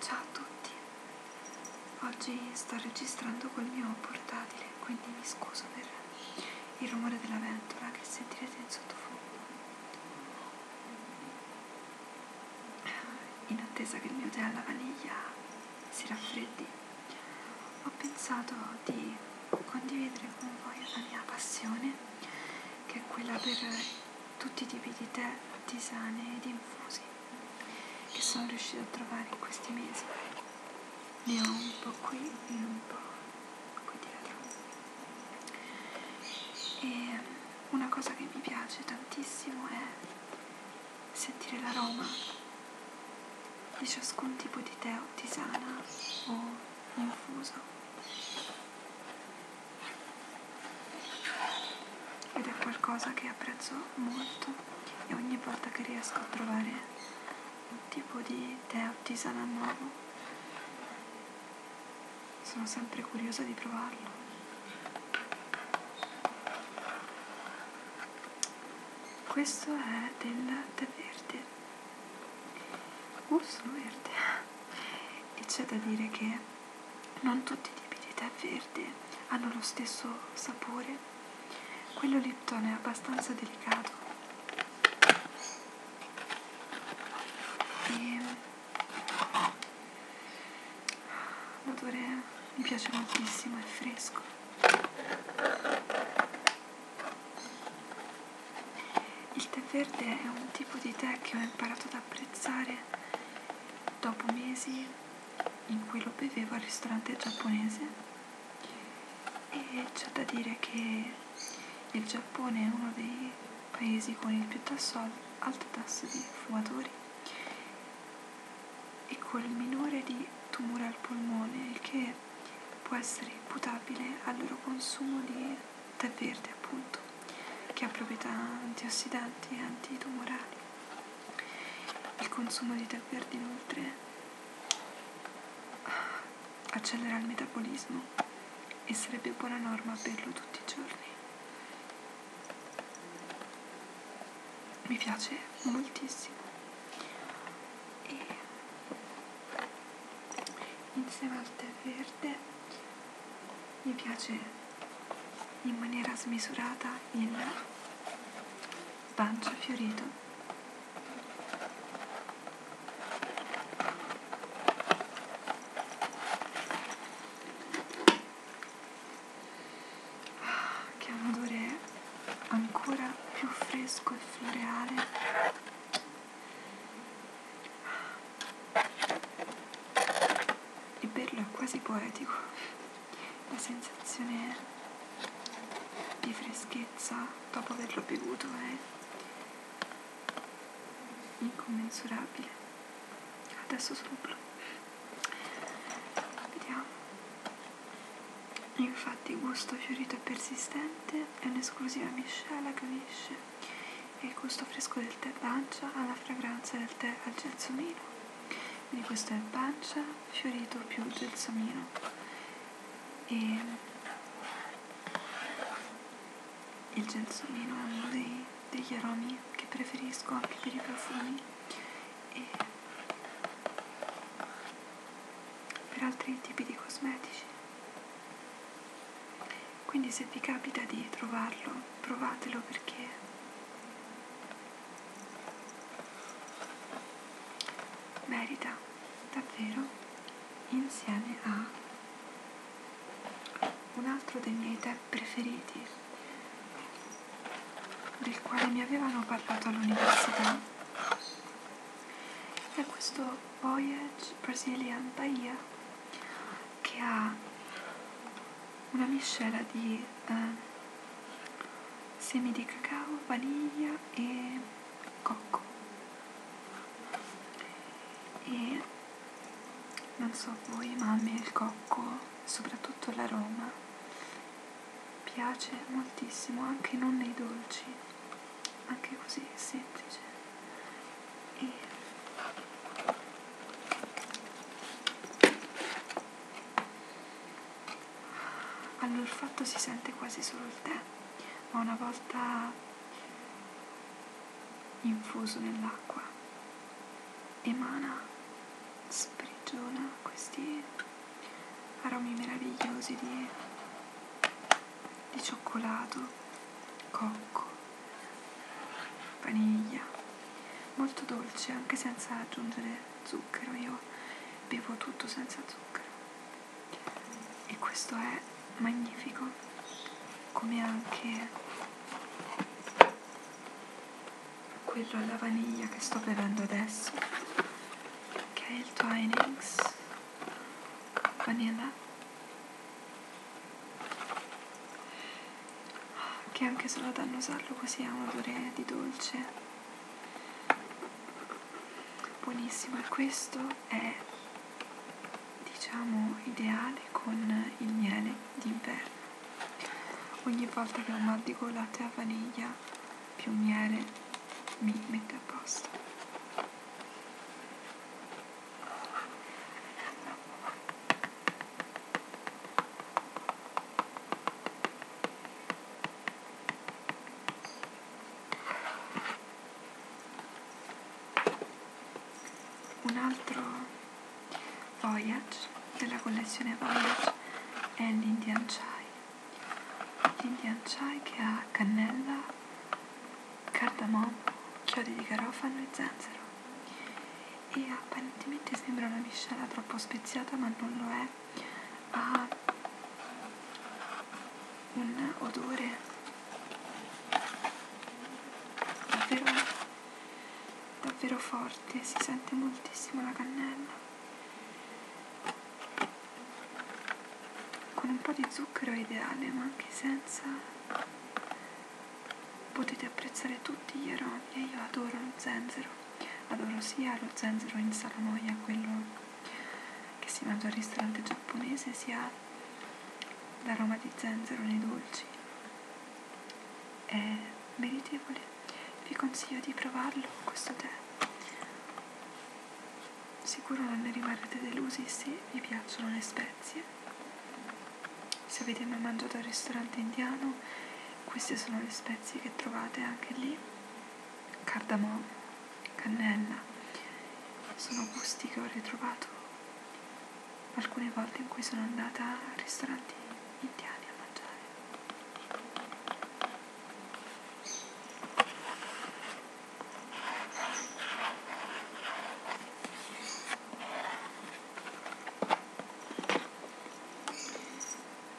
Ciao a tutti, oggi sto registrando col mio portatile, quindi mi scuso per il rumore della ventola che sentirete in sottofondo. In attesa che il mio tè alla vaniglia si raffreddi, ho pensato di condividere con voi la mia passione, che è quella per tutti i tipi di tè artigiane ed infusi che sono riuscita a trovare in questi mesi. Ne ho un po' qui e un po' qui dietro. E um, una cosa che mi piace tantissimo è sentire l'aroma di ciascun tipo di tè o tisana o infuso ed è qualcosa che apprezzo molto e ogni volta che riesco a trovare un tipo di tè artisanal nuovo sono sempre curiosa di provarlo questo è del tè verde gusto verde e c'è da dire che non tutti i tipi di tè verde hanno lo stesso sapore. Quello Lipton è abbastanza delicato e l'odore mi piace moltissimo, è fresco. Il tè verde è un tipo di tè che ho imparato ad apprezzare dopo mesi in cui lo bevevo al ristorante giapponese e c'è da dire che il Giappone è uno dei paesi con il più tasso, alto tasso di fumatori e col minore di tumore al polmone, il che può essere imputabile al loro consumo di tè verde appunto, che ha proprietà antiossidanti e antitumorali. Il consumo di tè verde inoltre accelera il metabolismo e sarebbe buona norma berlo tutti i giorni. Mi piace moltissimo. E insieme al tè verde mi piace in maniera smisurata il bancio fiorito ah, che ha un odore eh? ancora più fresco e floreale Liberlo è quasi poetico, la sensazione di freschezza dopo averlo bevuto è incommensurabile. Adesso sono blu. Vediamo. Infatti il gusto fiorito e persistente è un'esclusiva miscela che unisce e il gusto fresco del tè pancia alla fragranza del tè al gelsomino quindi questo è pancia fiorito più gelsomino e il gelsomino è uno dei, degli aromi che preferisco anche per i profumi e per altri tipi di cosmetici quindi se vi capita di trovarlo, provatelo perché merita davvero insieme a un altro dei miei tè preferiti del quale mi avevano parlato all'università è questo Voyage Brazilian Bahia che ha una miscela di eh, semi di cacao, vaniglia e cocco e non so voi ma a me il cocco soprattutto l'aroma piace moltissimo anche non nei dolci anche così semplice e all'olfatto si sente quasi solo il tè ma una volta infuso nell'acqua emana sprigiona questi aromi meravigliosi di di cioccolato, cocco, vaniglia, molto dolce anche senza aggiungere zucchero, io bevo tutto senza zucchero e questo è magnifico come anche quello alla vaniglia che sto bevendo adesso che è il Twinings vanilla che anche solo ad annusarlo così ha un odore di dolce buonissimo e questo è diciamo ideale con il miele d'inverno ogni volta che ho mal di gola a vaniglia più miele mi mette a posto. Un altro Voyage della collezione Voyage è l'Indian Chai Indian chai che ha cannella, cardamomo, chiodi di garofano e zenzero. E apparentemente sembra una miscela troppo speziata, ma non lo è. Ha un odore davvero, davvero forte, si sente moltissimo la cannella. Con un po' di zucchero è ideale, ma anche senza potete apprezzare tutti gli aromi e io adoro lo zenzero, adoro sia lo zenzero in salamoia, quello che si mangia al ristorante giapponese, sia l'aroma di zenzero nei dolci. È meritevole vi consiglio di provarlo questo tè sicuro non ne rimarrete delusi se vi piacciono le spezie se avete mai mangiato al ristorante indiano queste sono le spezie che trovate anche lì cardamomo, cannella sono gusti che ho ritrovato alcune volte in cui sono andata a ristoranti indiani a mangiare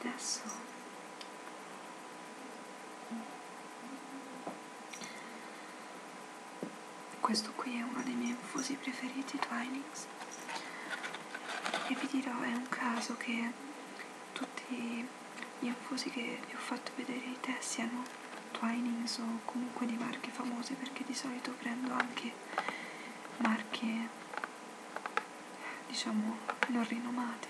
adesso questo qui è uno dei miei infusi preferiti Twinings e vi dirò è un caso che tutti gli infusi che vi ho fatto vedere di te siano Twinings o comunque di marche famose perché di solito prendo anche marche diciamo non rinomate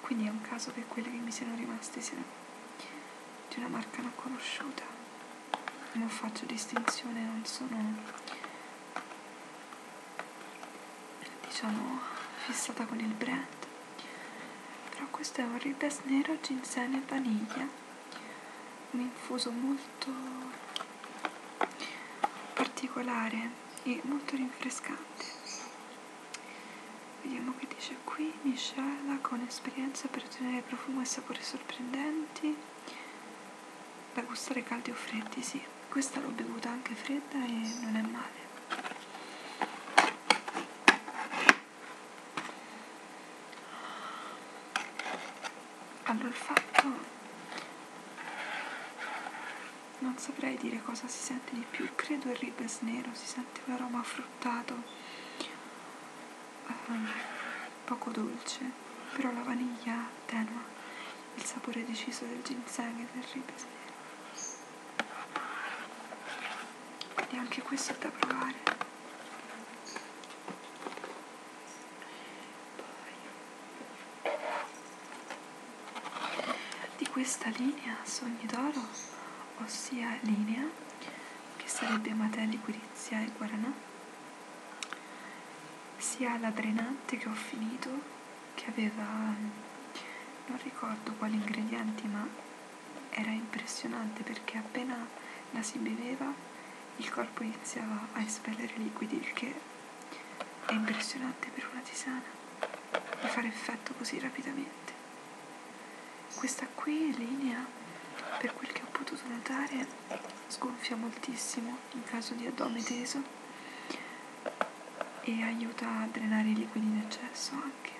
quindi è un caso che quelle che mi siano rimaste siano di una marca non conosciuta non faccio distinzione non sono diciamo fissata con il brand però questo è un ribes nero ginseng e vaniglia un infuso molto particolare e molto rinfrescante vediamo che dice qui miscela con esperienza per ottenere profumi e sapori sorprendenti da gustare caldi o freddi, sì. Questa l'ho bevuta anche fredda e non è male. Allora il fatto non saprei dire cosa si sente di più, credo il ribes nero, si sente un aroma fruttato, um, poco dolce, però la vaniglia tenua il sapore deciso del ginseng e del ribes e anche questo è da provare poi di questa linea sogni d'oro ossia linea che sarebbe Amatelli, Quirizia e Guaranà sia la drenante che ho finito che aveva non ricordo quali ingredienti ma era impressionante perché appena la si beveva il corpo iniziava a espellere liquidi il che è impressionante per una tisana di fare effetto così rapidamente questa qui linea per quel che ho potuto notare sgonfia moltissimo in caso di addome teso e aiuta a drenare i liquidi in eccesso anche,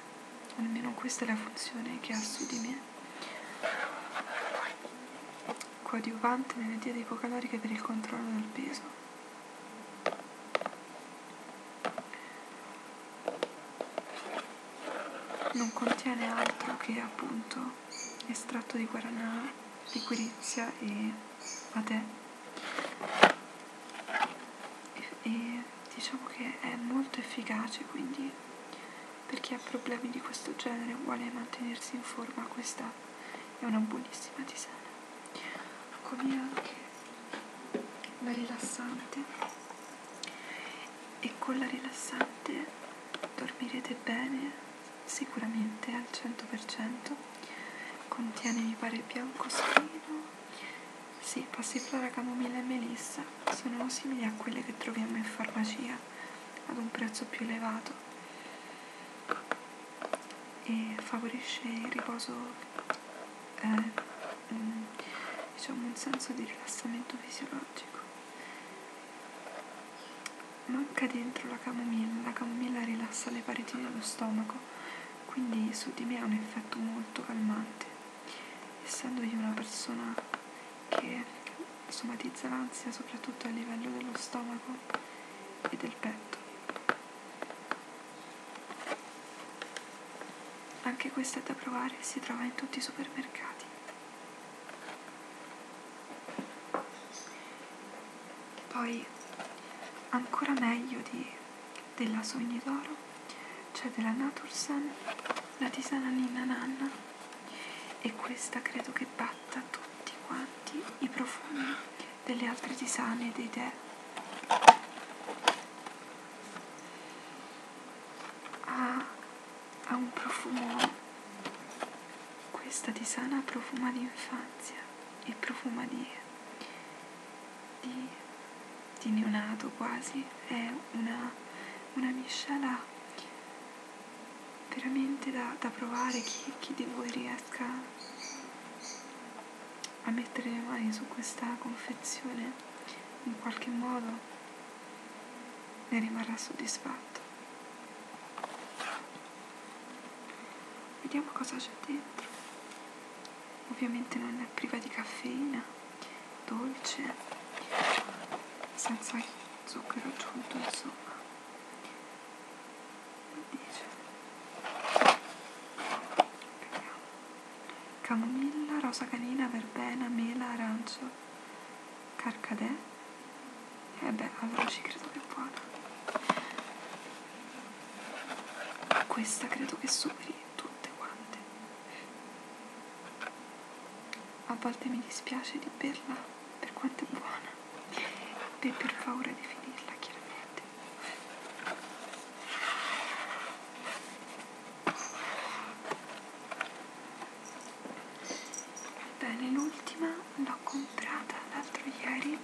almeno questa è la funzione che ha su di me. Coadiuvante nelle diete ipocaloriche per il controllo del peso. non contiene altro che appunto estratto di guaranà, liquirizia e patè. E, e diciamo che è molto efficace, quindi per chi ha problemi di questo genere e vuole mantenersi in forma, questa è una buonissima tisana. Come ecco, anche la rilassante e con la rilassante dormirete bene sicuramente al 100%, contiene mi pare biancospino, sì, passiflora, camomilla e melissa, sono simili a quelle che troviamo in farmacia ad un prezzo più elevato e favorisce il riposo, eh, mm, diciamo un senso di rilassamento fisiologico. Manca dentro la camomilla, la camomilla rilassa le pareti dello stomaco, quindi su di me ha un effetto molto calmante. Essendo io una persona che somatizza l'ansia soprattutto a livello dello stomaco e del petto. Anche questa è da provare, si trova in tutti i supermercati. Poi ancora meglio di, della Sogni d'Oro c'è cioè della Natursan la tisana Ninna Nanna e questa credo che batta tutti quanti i profumi delle altre tisane e dei tè. Ha ah, ha un profumo, questa tisana profuma di infanzia e profuma di, di, di neonato quasi, è una, una miscela veramente da, da provare chi, chi di voi riesca a mettere le mani su questa confezione in qualche modo ne rimarrà soddisfatto. Vediamo cosa c'è dentro. Ovviamente non è priva di caffeina, dolce, senza zucchero aggiunto, insomma. Dice. Camomilla, rosa canina, verbena, mela, arancia, Carcadè. E eh beh, allora ci credo che è buona. Questa credo che superi tutte quante. A volte mi dispiace di berla per quanto è buona. E per paura di finirla, chiaramente bene l'ultima l'ho comprata l'altro ieri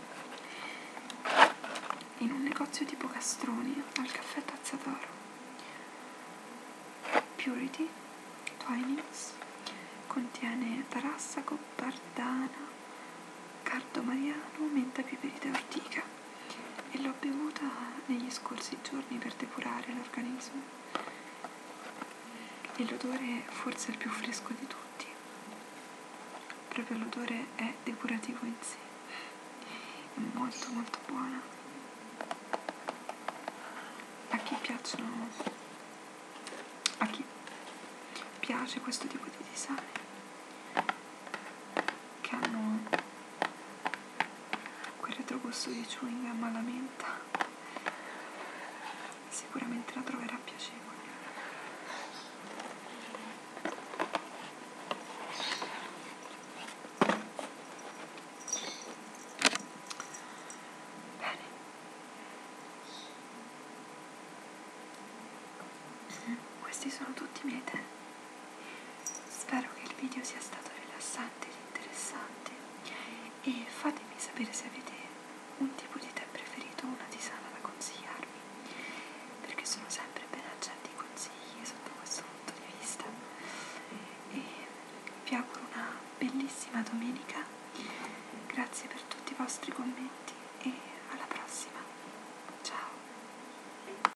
in un negozio tipo Castroni al caffè Tazzadoro Purity Twinings contiene tarassaco, bardana, cardo mariano, menta, piperita e ortica e l'ho bevuta negli scorsi giorni per depurare l'organismo. E l'odore forse è il più fresco di tutti. Proprio l'odore è depurativo in sé. È molto molto buona. A chi piacciono a chi piace questo tipo di design che hanno quel retrogusto di chewing gum alla menta sicuramente la troverà piacevole Bene. Questi sono tutti i miei tè. Spero che il video sia stato rilassante ed interessante e fatemi sapere se avete un tipo di tè preferito o una tisana da consigliarmi, perché sono sempre ben accenti i consigli sotto questo punto di vista. E vi auguro una bellissima domenica, grazie per tutti i vostri commenti e alla prossima. Ciao!